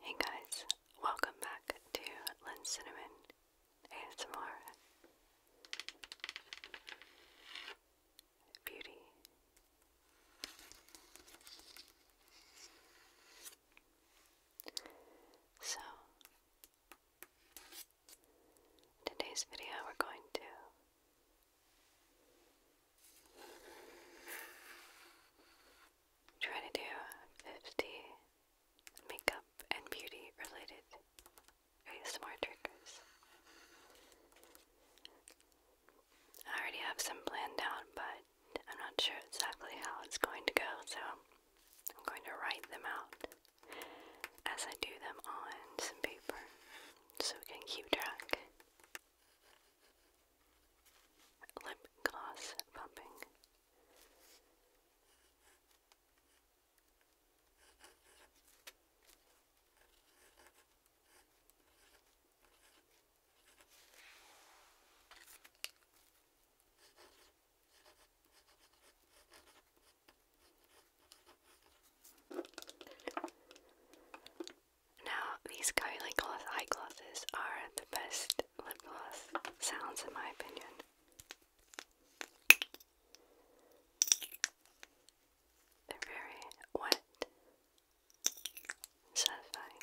Hey guys, welcome back to Lynn Cinnamon ASMR Beauty. So, today's video we're going to Try to do 50 makeup and beauty related ASMR triggers. I already have some planned out, but I'm not sure exactly how it's going to go, so I'm going to write them out as I do them on some paper so we can keep track lip gloss bumping. Now, these Kylie Gloss eye glosses are the best lip gloss sounds, in my opinion. They're very wet satisfying.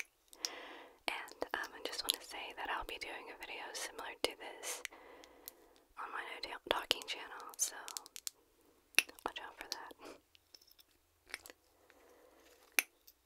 And um, I just want to say that I'll be doing a video similar to this on my No Talking channel, so watch out for that.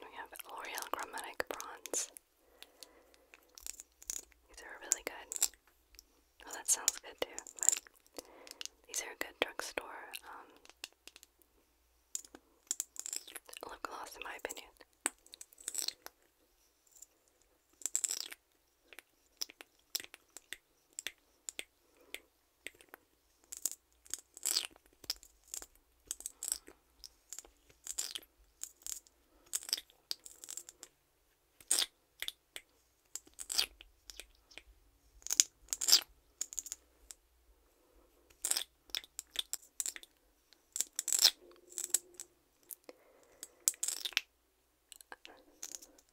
We have L'Oreal Chromatic Bronze. These are really good. Well, oh, that sounds good too, but these are good drugstore um, lip gloss, in my opinion.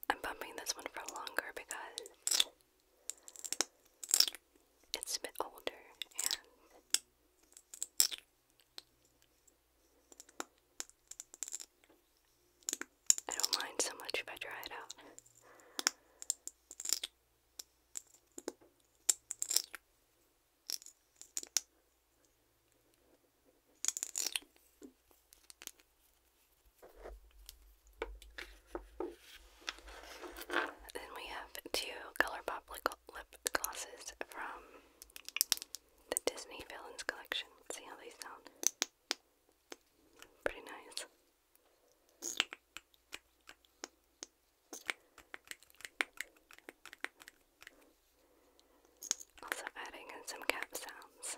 I'm bumping this one for longer because it's a bit older and I don't mind so much if I try it out. Then we have two Color Pop lip glosses from the Disney Villains Collection. see how they sound. Pretty nice. Also adding in some cat sounds.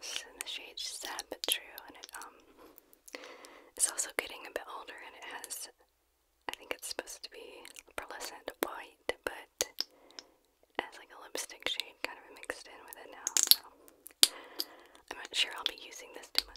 This the shade Sad But True, and um, it's also getting a bit older, and it has, I think it's supposed to be pearlescent white, but it has like a lipstick shade kind of mixed in with it now, so I'm not sure I'll be using this too much.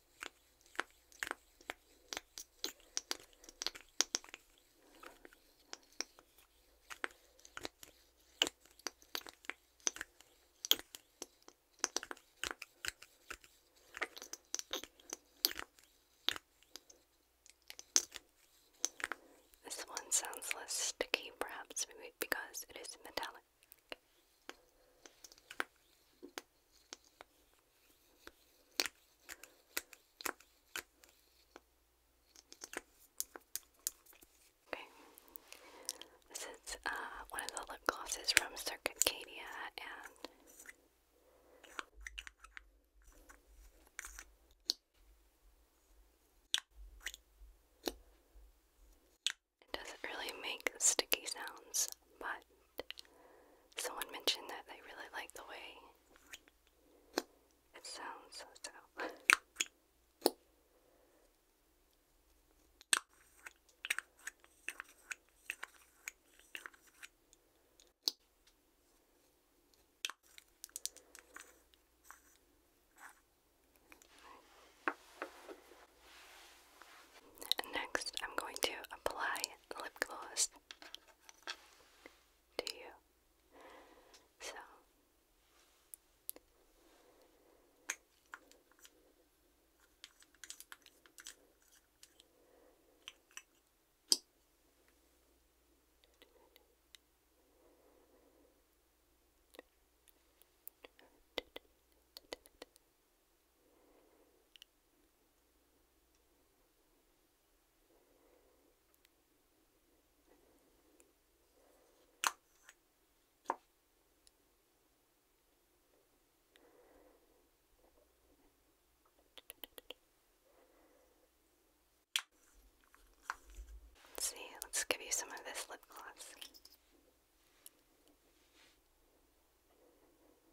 This one sounds less sticky, perhaps because it is metallic. This is uh, one of the lip glosses from Circuitcadia and it doesn't really make sticky sounds, but someone mentioned that they really like the way it sounds, so. Next, I'm going to apply lip gloss to you. So Let's see, let's give you some of this lip gloss.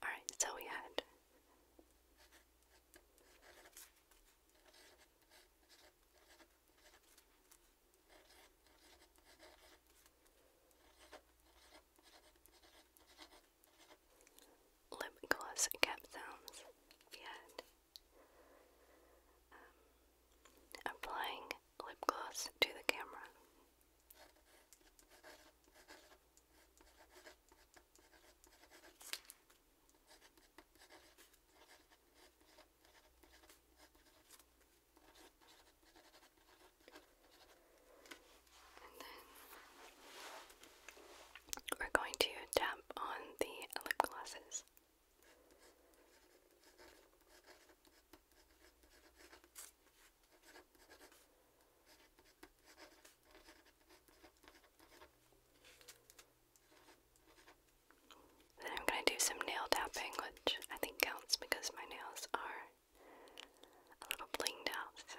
All right, so we had lip gloss cap sounds yet. Um, applying lip gloss to the camera. we're going to tap on the lip glosses. Then I'm going to do some nail tapping, which I think counts because my nails are a little blinged out, so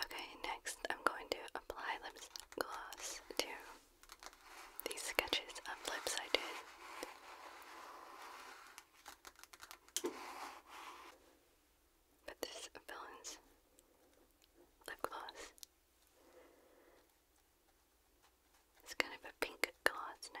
Okay, next I'm going to apply lip gloss to these sketches of lips I did. But this villain's lip gloss it's kind of a pink glass now.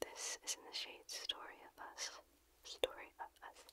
This is in the shade Story of Us. Story of Us.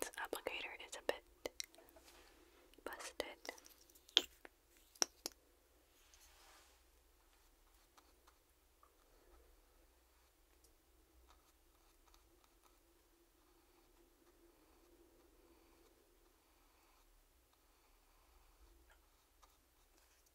This applicator is a bit busted.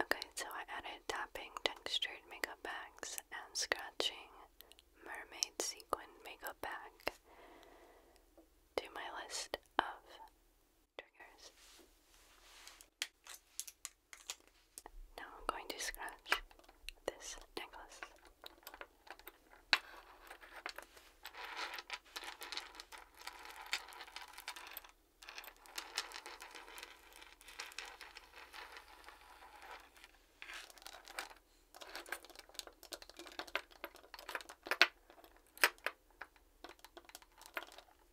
Okay, so I added tapping textured makeup bags and scratching mermaid sequin makeup bag to my list of triggers. Now I'm going to scratch this necklace.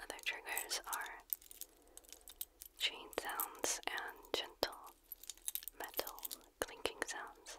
Other triggers are chain sounds and gentle metal clinking sounds.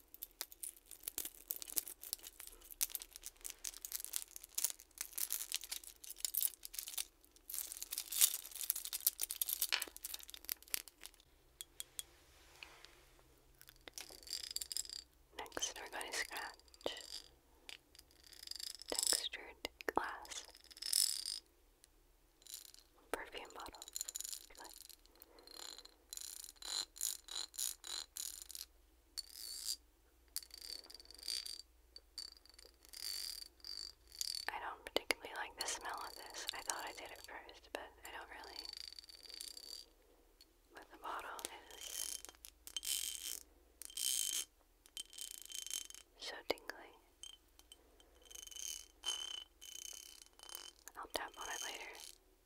Next, we're going to scratch textured glass perfume bottles. I don't particularly like the smell of this. I thought I did it first, but I don't really. But the bottle is so tingly. I'll tap on it later.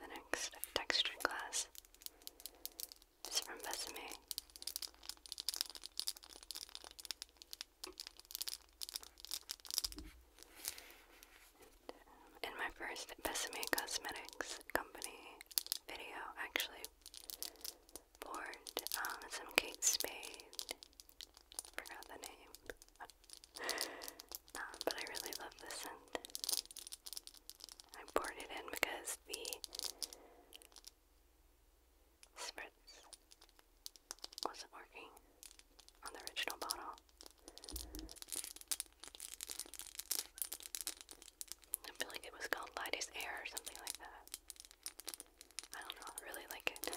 The next texture class it's from Bessemer. Um, in my first Bessemer Cosmetics Company video, actually poured um, some Kate Spade. Forgot the name. Um, but I really love the scent. I poured it in because the Spritz wasn't working on the original bottle. I feel like it was called Lydie's Air or something like that. I don't know, really like it.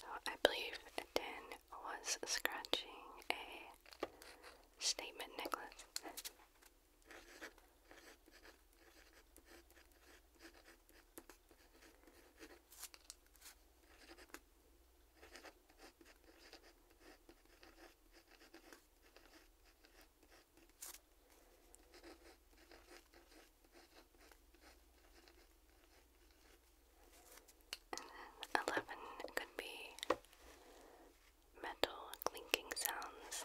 So I believe Dan was scratching a statement necklace. And then 11 could be metal clinking sounds.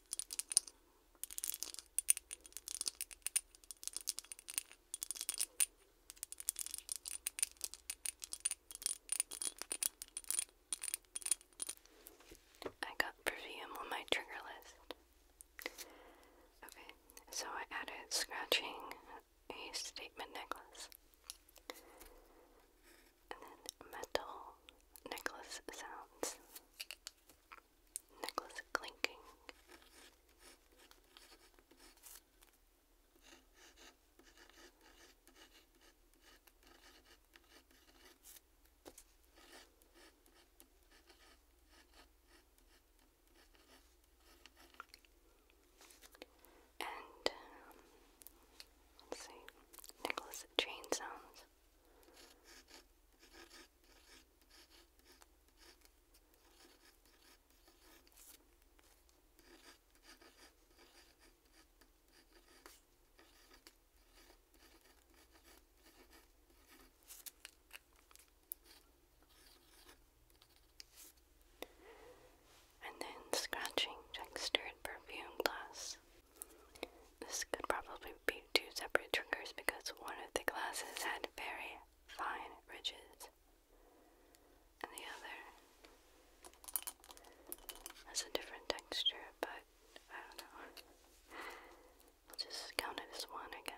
I got perfume on my trigger list. Okay, so I added scratching a statement necklace. And then metal necklace sounds. Necklace clinking. And um, let's see, necklace chain sounds. And then scratching textured perfume glass this could probably be two separate triggers because one of the glasses had very fine ridges, and the other has a different texture, but I don't know. I'll just count it as one, I guess.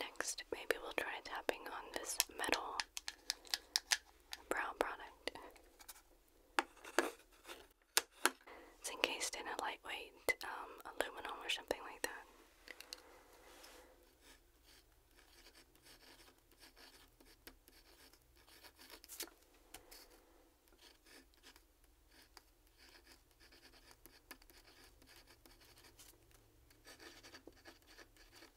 Next, maybe we'll try tapping on this metal brow product. It's encased in a lightweight um, aluminum or something like that.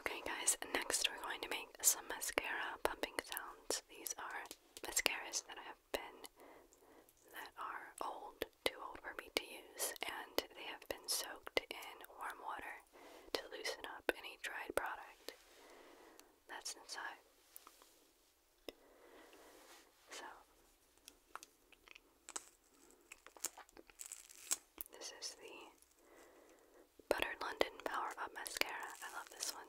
Okay, guys, next we're going to make some mascara pumping sounds. These are mascaras that I have that are old, too old for me to use, and they have been soaked in warm water to loosen up any dried product that's inside. So, this is the Buttered London Power Up Mascara. I love this one.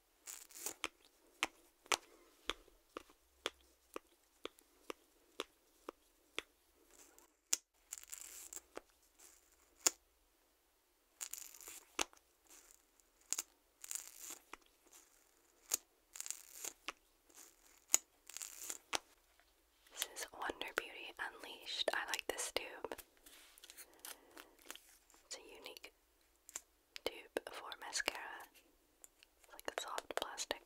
This is Wonder Beauty Unleashed. I like this tube. It's a unique tube for mascara. It's like a soft plastic.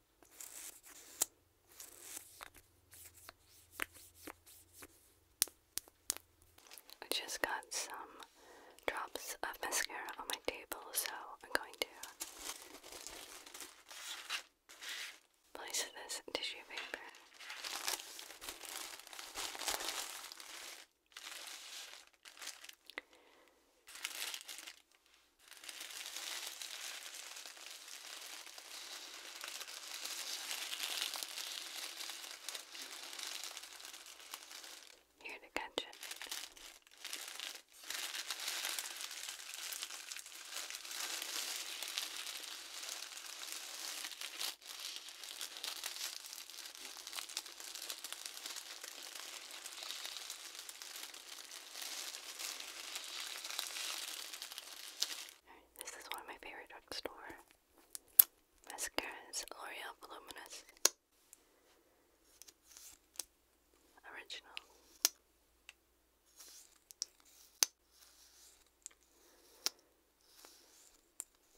I just got some drops of mascara on my table, so I'm going to place this tissue paper. Here to catch it. This is one of my favorite drugstore mascaras, L'Oreal Voluminous Original.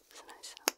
It's a nice sound.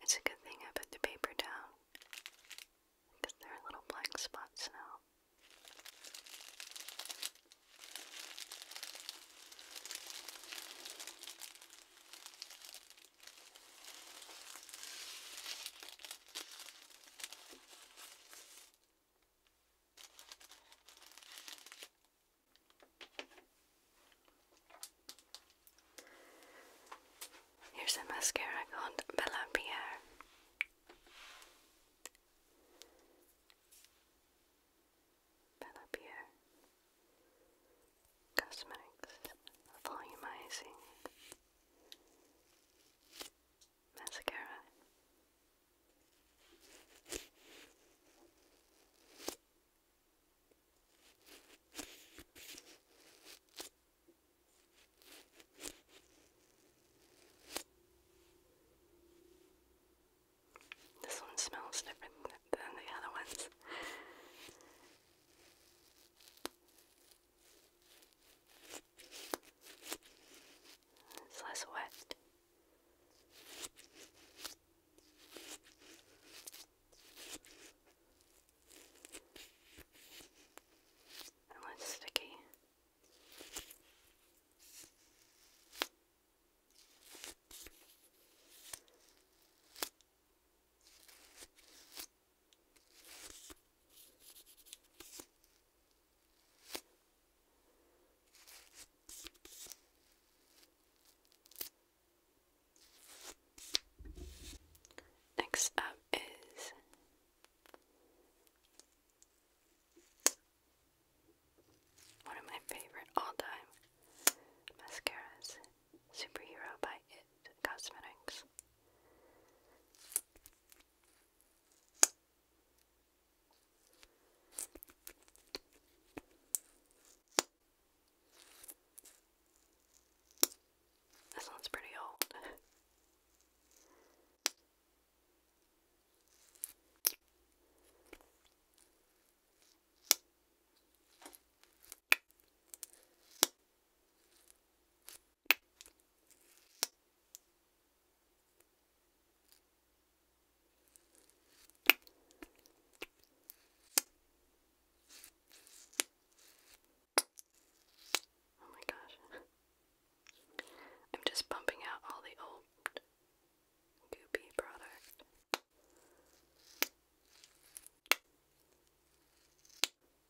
It's a good thing I put the paper down because there are little black spots now. Here's a mascara called Bella Pierre. Bella Pierre cosmetics, volumizing, mascara. This one smells different than the other ones. It's less wet. And less sticky. Next up is one of my favorite all time mascaras, Superhero by It Cosmetics. This one's pretty old. Oh my gosh. I'm just bumping out all the old goopy product.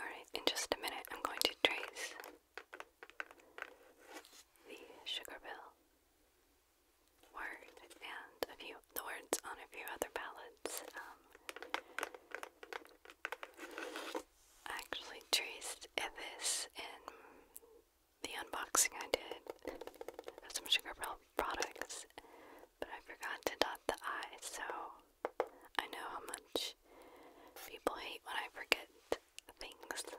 Alright, in just a minute, I'm going to trace the sugar word and a few the words on a few other palettes. Um, I actually traced this in the unboxing I did of some Sugar products, but I forgot to dot the I, so I know how much people hate when I forget things. So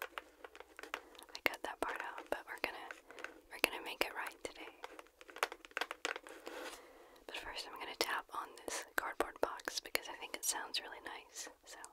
I cut that part out, but we're gonna we're gonna make it right today. But first I'm gonna tap on this cardboard box because I think it sounds really nice. So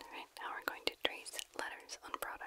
Alright, now we're going to trace letters on products.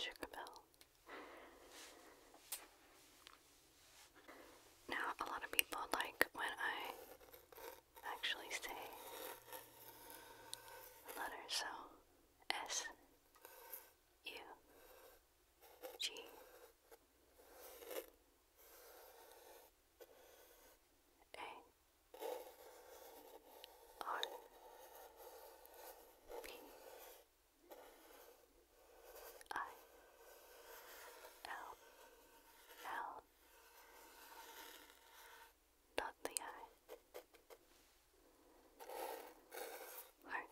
Sugar Bell. Now, a lot of people like when I actually say the letter, so S U G. A R P I L L dot the i. Heart,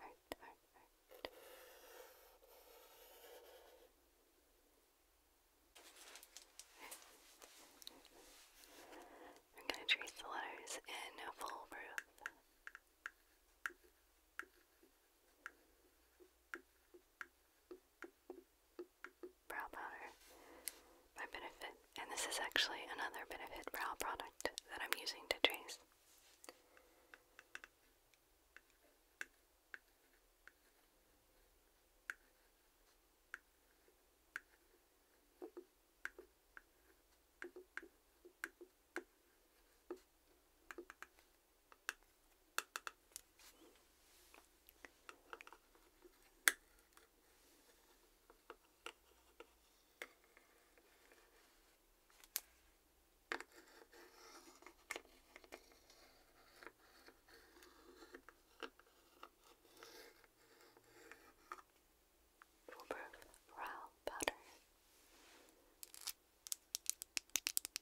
heart, heart, heart. We're going to trace the letters in a full proof brow powder by Benefit. And this is actually another Benefit brow product that I'm using to trace. For brow powder.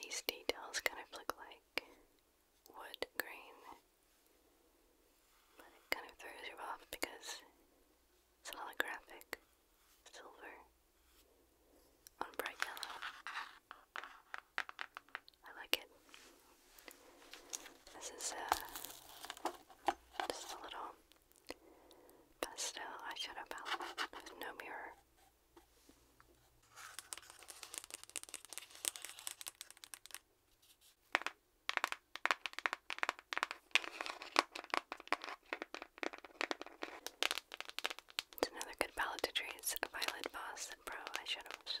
These details kind of look like wood grain, but it kind of throws you off because it's holographic silver on bright yellow. I like it. This is uh, just a little pastel eyeshadow palette with no mirror. It's another good palette to trace Violet Boss Pro eyeshadows.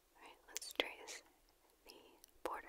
Alright, let's trace the border.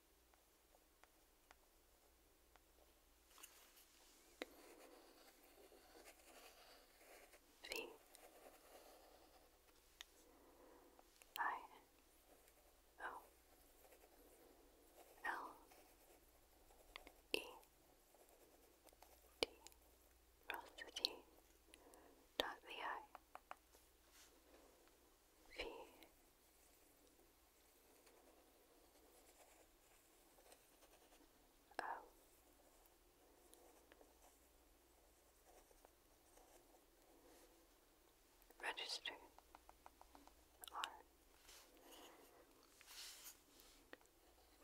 V I O L E D cross dot the I V I Oh. Register R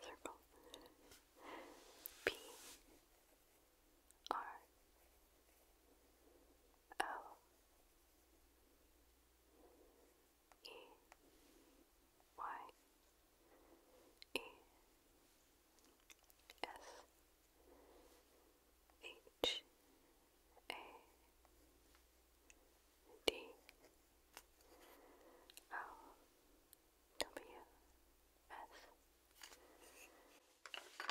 circle P R O E Y E S H A D O W S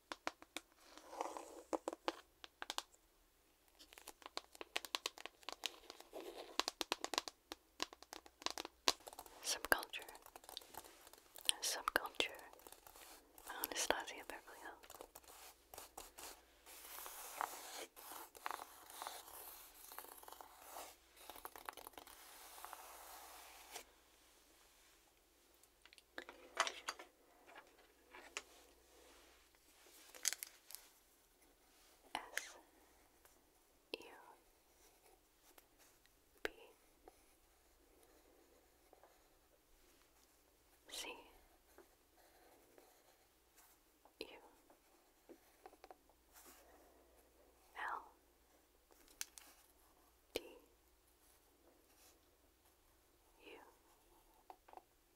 Subculture. Subculture. Anastasia Beverly Hills. S U B C U L D U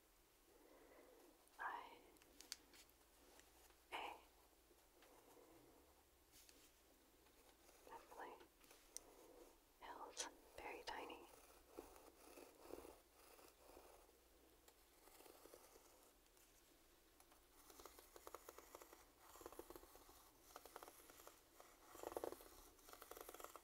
I A Lovely. L's very tiny.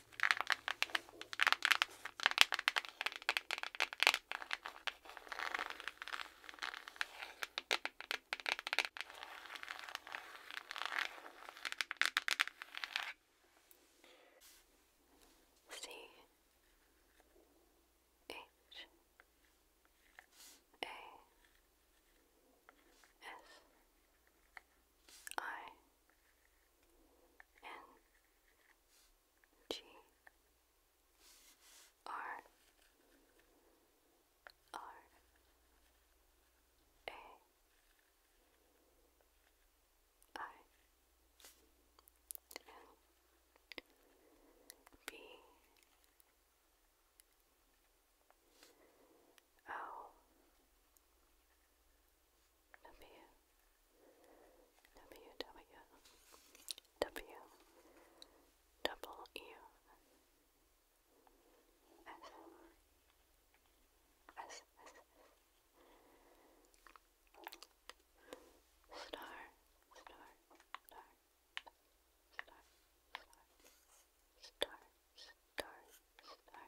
C H A S I N G R R A I N B O W W W W double U S S S star star star star star star star star star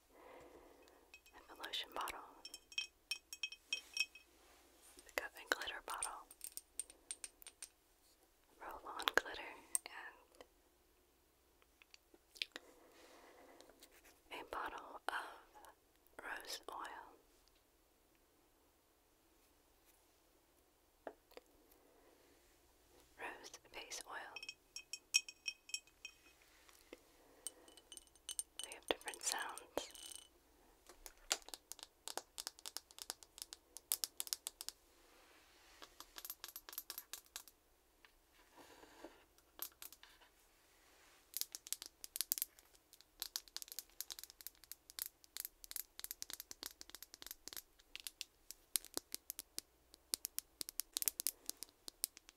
a lotion bottle, pick up a glitter bottle, roll on glitter, and a bottle of rose oil. Rose base oil. We have different sounds.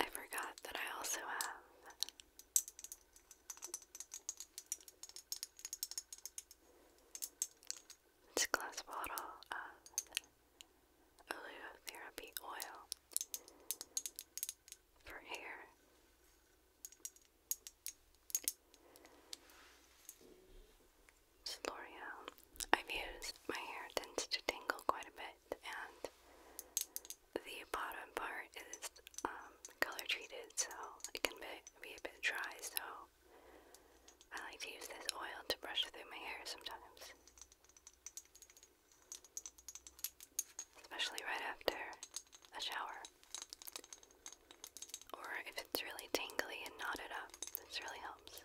I forgot that I also have this glass bottle of oleotherapy oil for hair. It's L'Oreal. I've used my hair tends to tingle quite a bit and the bottom part is um, color treated, so it can be, be a bit dry. So I like to use this oil to brush through my hair sometimes, especially right after a shower, or if it's really tangly and knotted up. This really helps.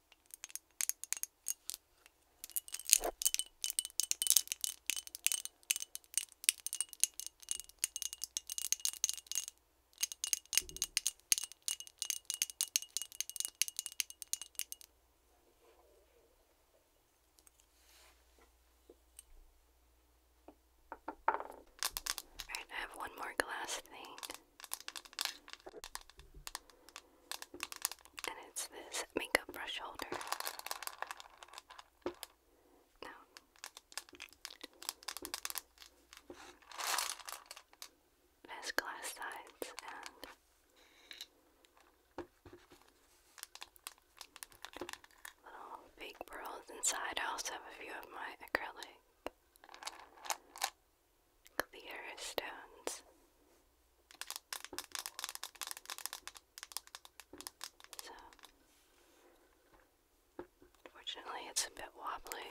Alright, I have one more glass thing. And it's this makeup brush holder. No. has glass sides and little fake pearls inside. I also have a few of my acrylic clear stones. So, unfortunately, it's a bit wobbly.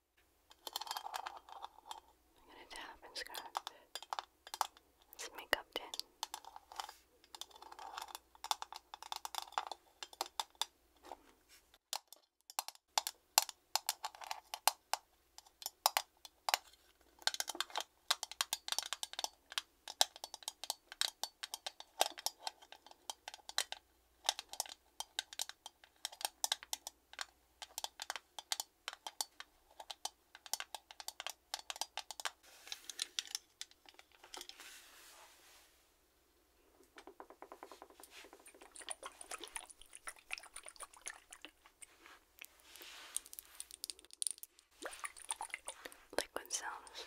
I'm gonna tap and scratch it. Let's make up ten. Liquid sounds.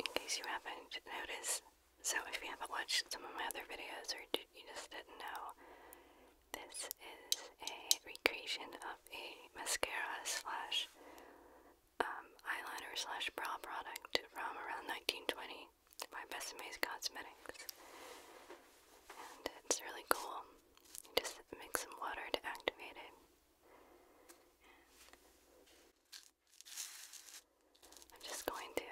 in case you haven't noticed. So if you haven't watched some of my other videos or you just didn't know, this is a recreation of a mascara slash um, eyeliner slash brow product from around 1920 by Best Maze Cosmetics. And it's really cool. You just mix some water to activate it. I'm just going to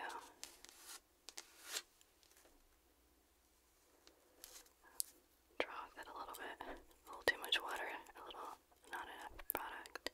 draw with a little bit. A little too much water, a little not enough product.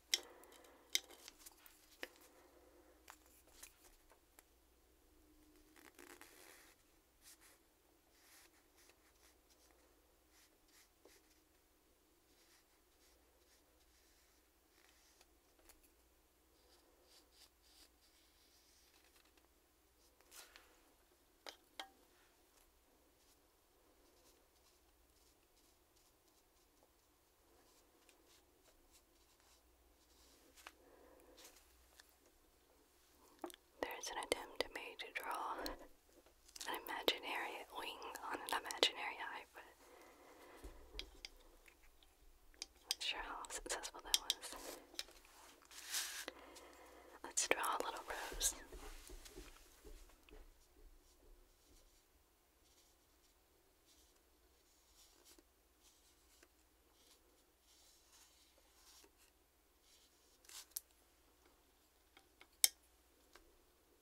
There's an attempt made to draw an imaginary wing on an imaginary eye, but not sure how successful that was. Let's draw a little rose.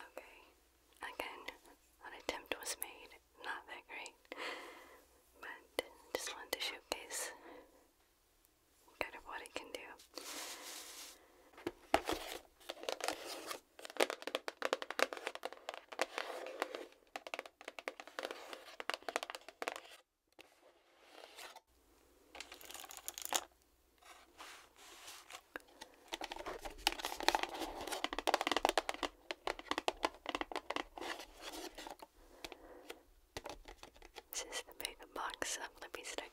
Okay, again, an attempt was made, not that great, but just wanted to showcase kind of what it can do. This is the big box of lippy sticks.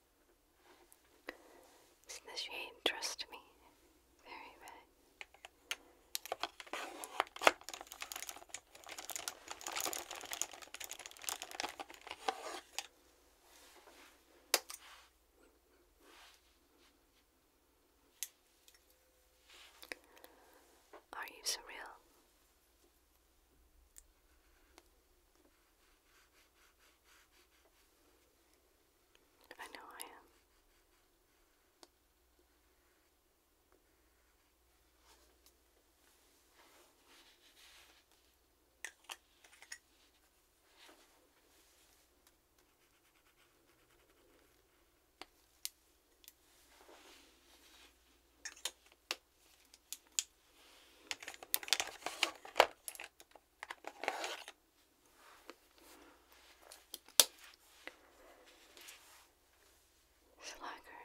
is shade Trust Me? Very red. Are you surreal? I know I am. Slacker.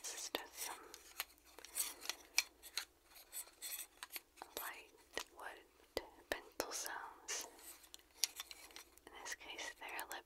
This is just some light wood pencil sounds. In this case, they're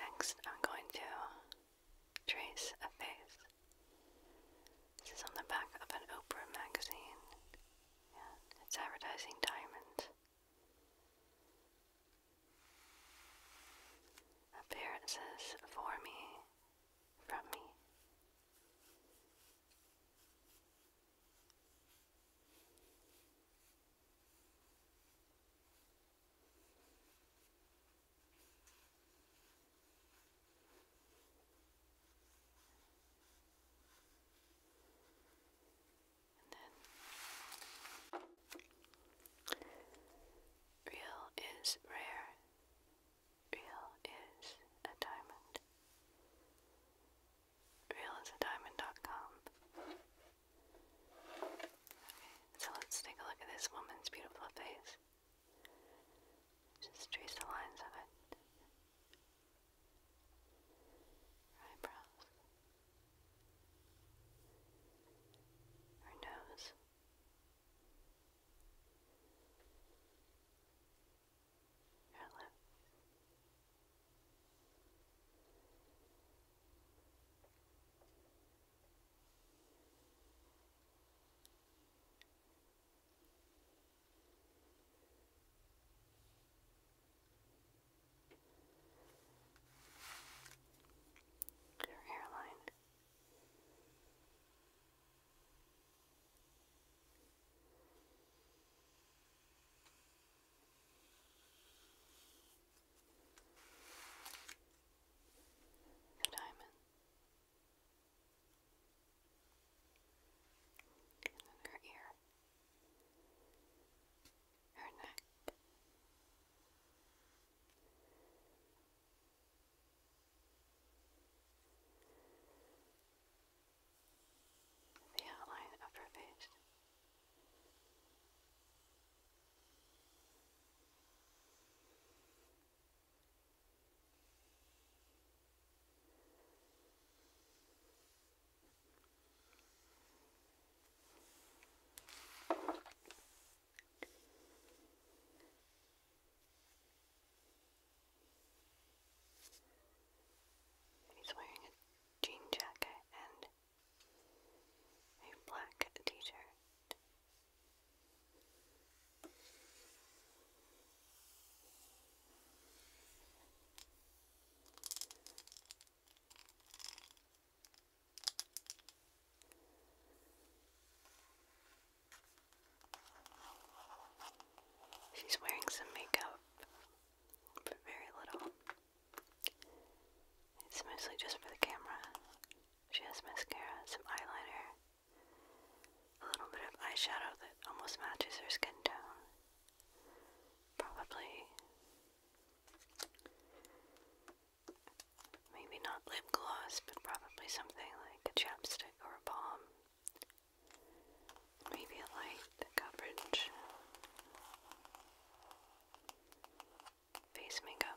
Next, I'm going to trace a face. This is on the back of an Oprah magazine, it's advertising diamonds. Up For me, from me. And then real is rare Real is a diamond. Realisadiamond.com. Okay, so let's take a look at this woman's beautiful face. Just trace the lines of it. Her eyebrows. Her nose your lips. Your hairline, the diamond. And then her ear. Her neck the outline of her face. He's wearing a jean jacket and a black t-shirt. She's wearing some makeup, but very little. It's mostly just for the camera. She has mascara, some eyeliner, a little bit of eyeshadow that almost matches her skin tone. Probably. Maybe not lip gloss, but probably something like a chapstick or a balm maybe a light coverage face makeup.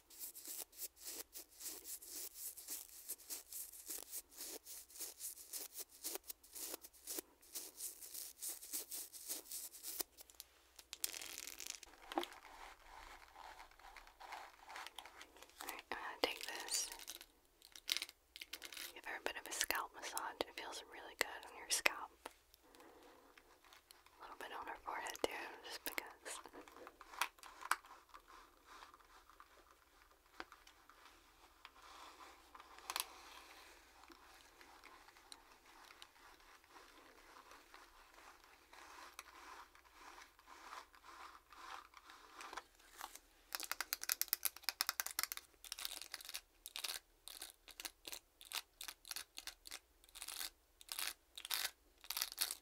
Alright, I'm gonna take this. Give her a bit of a scalp massage. It feels really good on your scalp. A little bit on her forehead too, just because.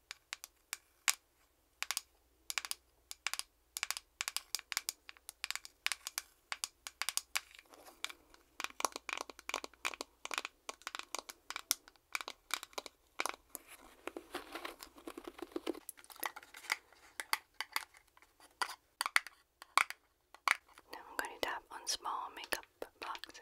Now I'm going to tap on small makeup boxes.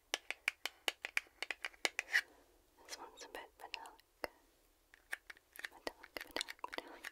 This one's a bit metallic. Metallic, metallic, metallic.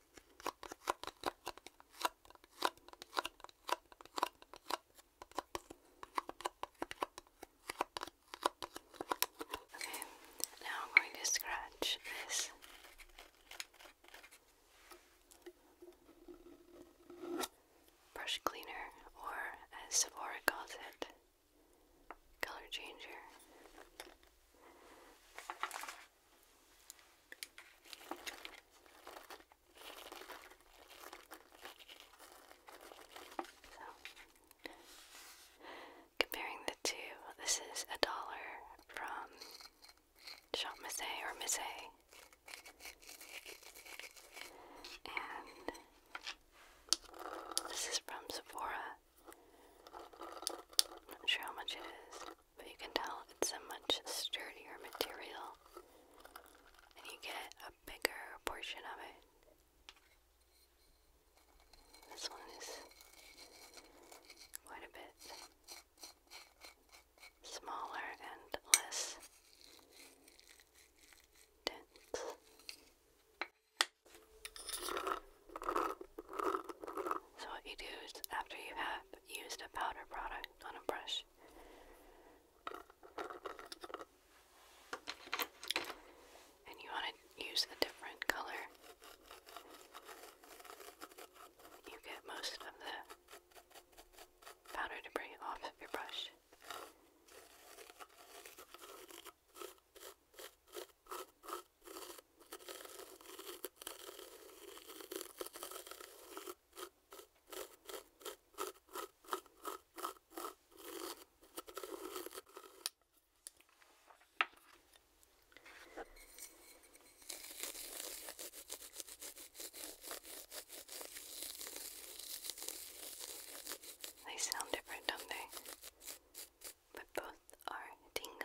Okay, now I'm going to scratch this. Brush cleaner, or as Sephora calls it, color changer comparing the two, this is a dollar from Shop Mise or Mise. And this is from Sephora. not sure how much it is but you can tell it's a much sturdier material and you get a bigger portion of it. This one is quite a bit smaller and less dense. So, what you do is after you've used a powder product on a brush. And you want to use a different color. You get most of the powder debris off of your brush. They sound different, don't they? But both are tingly.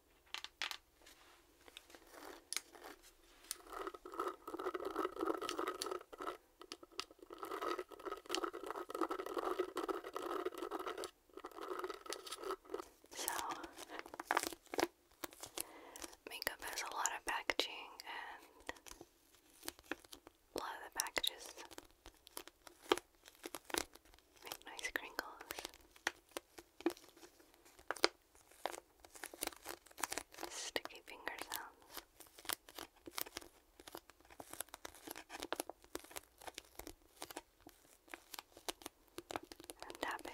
So, makeup has a lot of packaging, and a lot of the packages make nice crinkles. Sticky finger sounds. And tapping.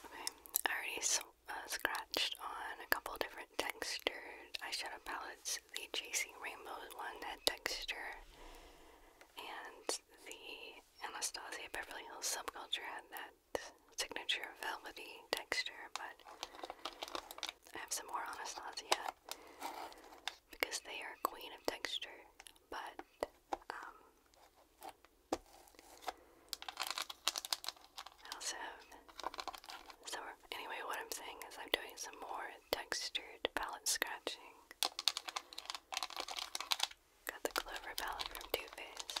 Okay, I already uh, scratched on a couple different textured eyeshadow palettes. The Chasing Rainbows one had texture, and the Anastasia Beverly Hills Subculture had that signature velvety texture, but I have some more Anastasia because they are queen of texture, but um, also so anyway, what I'm saying is I'm doing some more textured palette scratching. Got the Clover palette from Too Faced.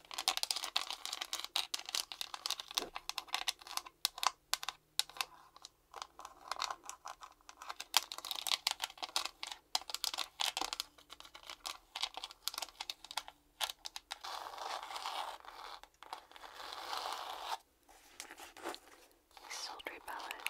A sultry ballad.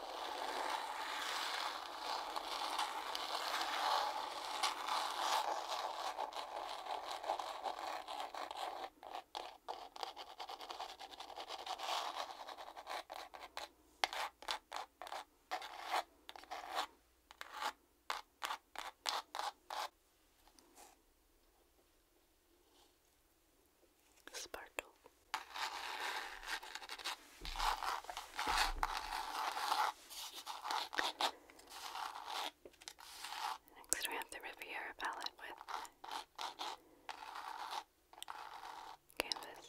Sparkle Next, we have the Riviera palette with canvas.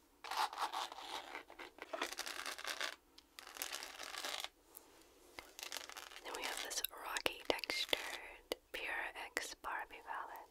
Then we have this rocky textured Pure X Barbie palette.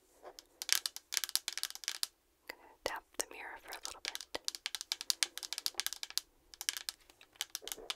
I'm going to tap the mirror for a little bit. Okay,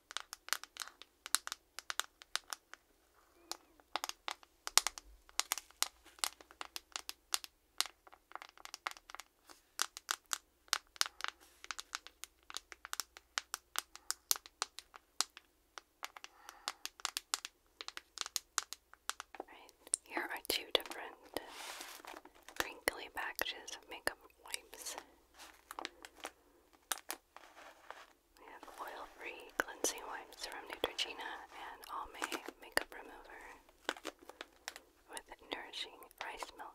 Right, here are two different crinkly packages of makeup wipes. We have oil-free cleansing wipes from Neutrogena and Almay makeup remover with nourishing rice milk.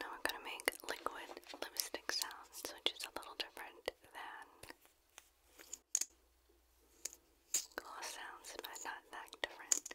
Now we're going to make liquid lipstick sounds, which is a little different than gloss sounds, but not that different.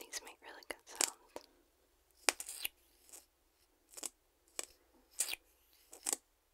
These make really good sounds.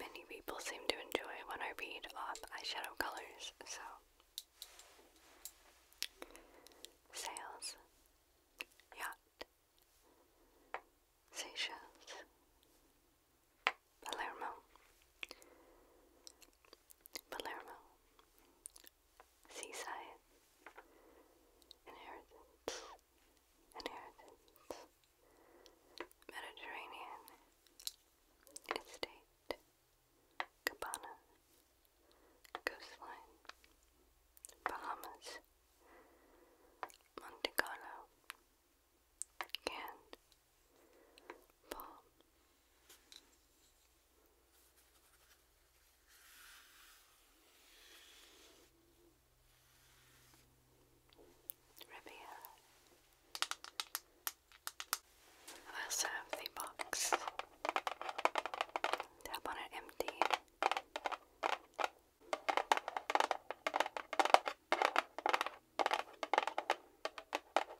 Many people seem to enjoy when I read off eyeshadow colors, so. Sails, yacht, Seychelles, Palermo, Palermo, Seaside, Inheritance, Inheritance, Mediterranean, Estate, Cabana, Coastline, Bahamas, Monte Carlo, Cannes, pull. Riviera. I also the box. Tap on it empty.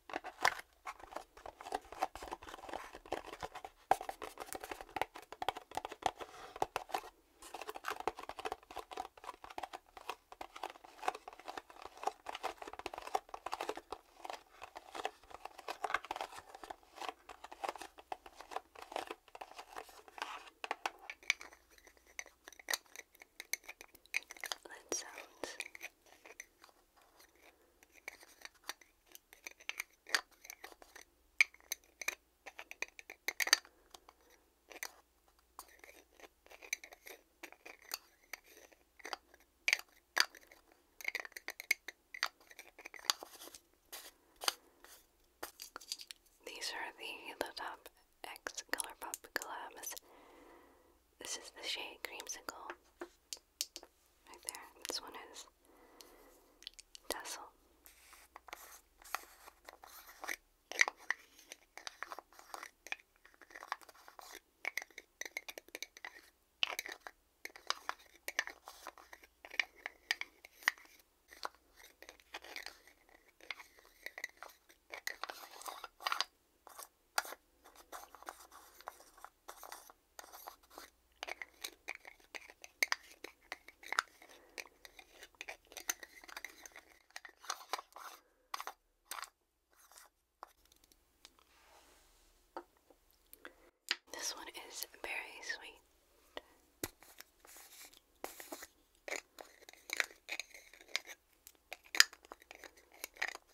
That sounds these are the Halo Top X Color Pop Collabs. This is the shade Creamsicle. Right there. This one is Tassel. This one is very sweet.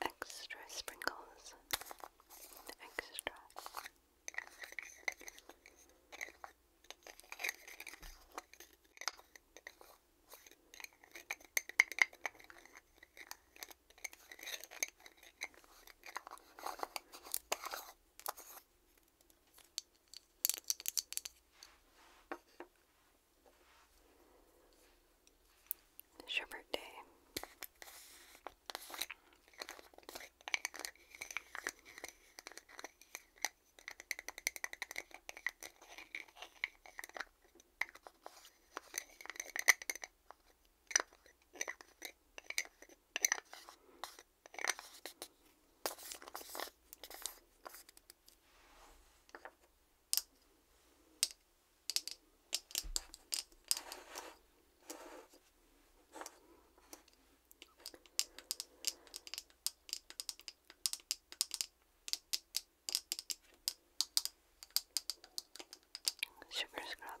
Extra sprinkles. Extra. Shepherd Day. Sugar scrub.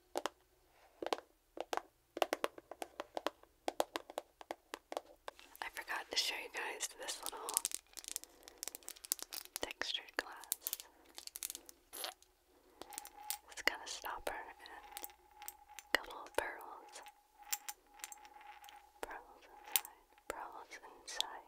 I forgot to show you guys this little textured glass. It's got a stopper and got little pearls. Pearls inside. Pearls inside.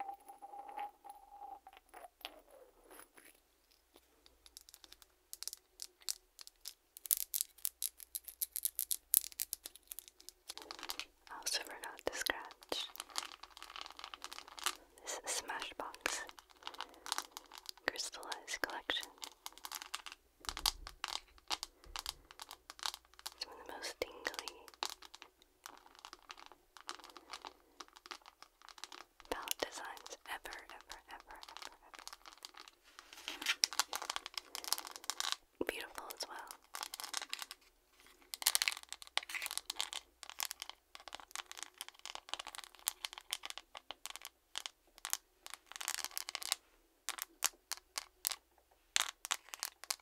I also forgot to scratch this is Smashbox Crystallized Collection. It's one of the most tingly palette designs ever, ever, ever, ever, ever. Beautiful as well.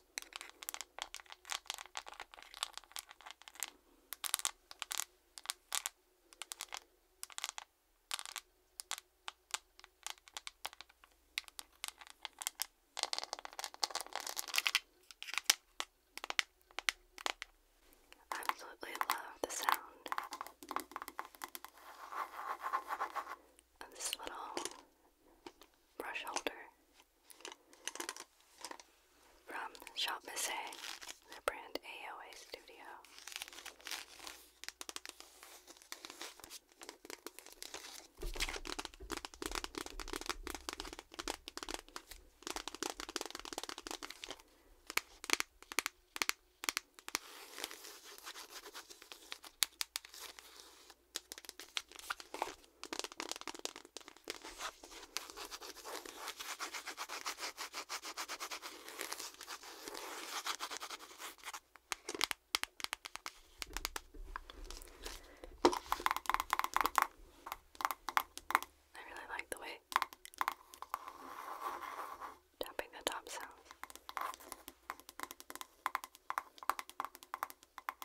I absolutely love the sound of this little brush holder. From Shop Missé, the brand AOA Studio. I really like the way tapping the top sounds.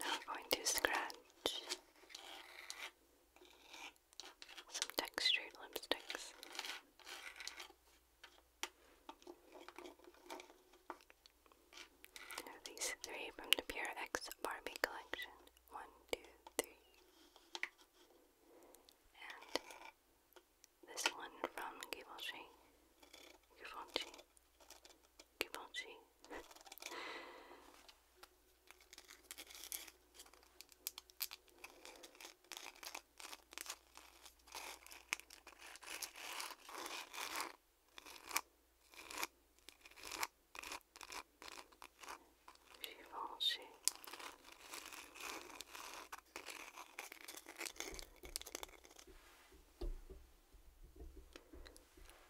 Now I'm going to scratch some textured lipsticks. these three from the Pure X Barbie collection. One, two, three. And this one from Givenchy. Givenchy. Givenchy. Givenchy.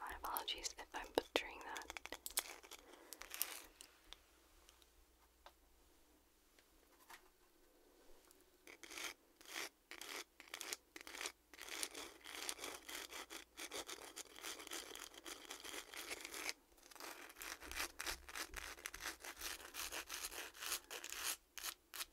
My apologies if I'm butchering that.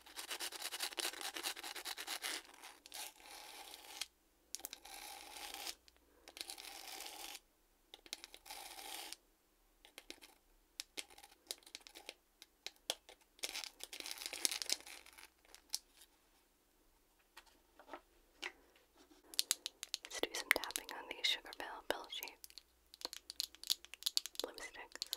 Let's do some tapping on these sugar bell bell shape lipsticks.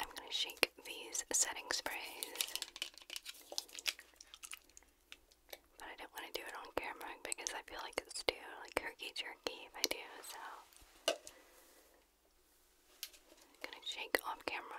I'm going to shake these setting sprays but I do not want to do it on camera because I feel like it's too like herky jerky if I do, so gonna shake off camera.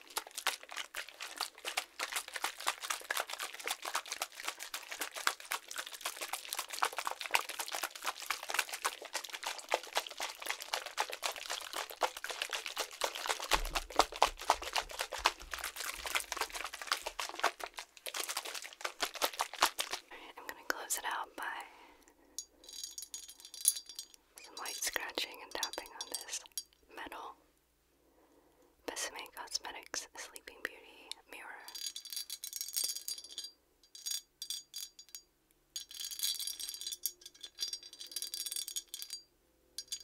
Right, I'm going to close it out by some light scratching and tapping on this metal. Besame Cosmetics Sleeping Beauty Mirror.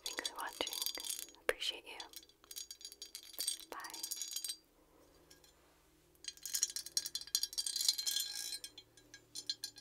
Thanks for watching. Appreciate you. Bye.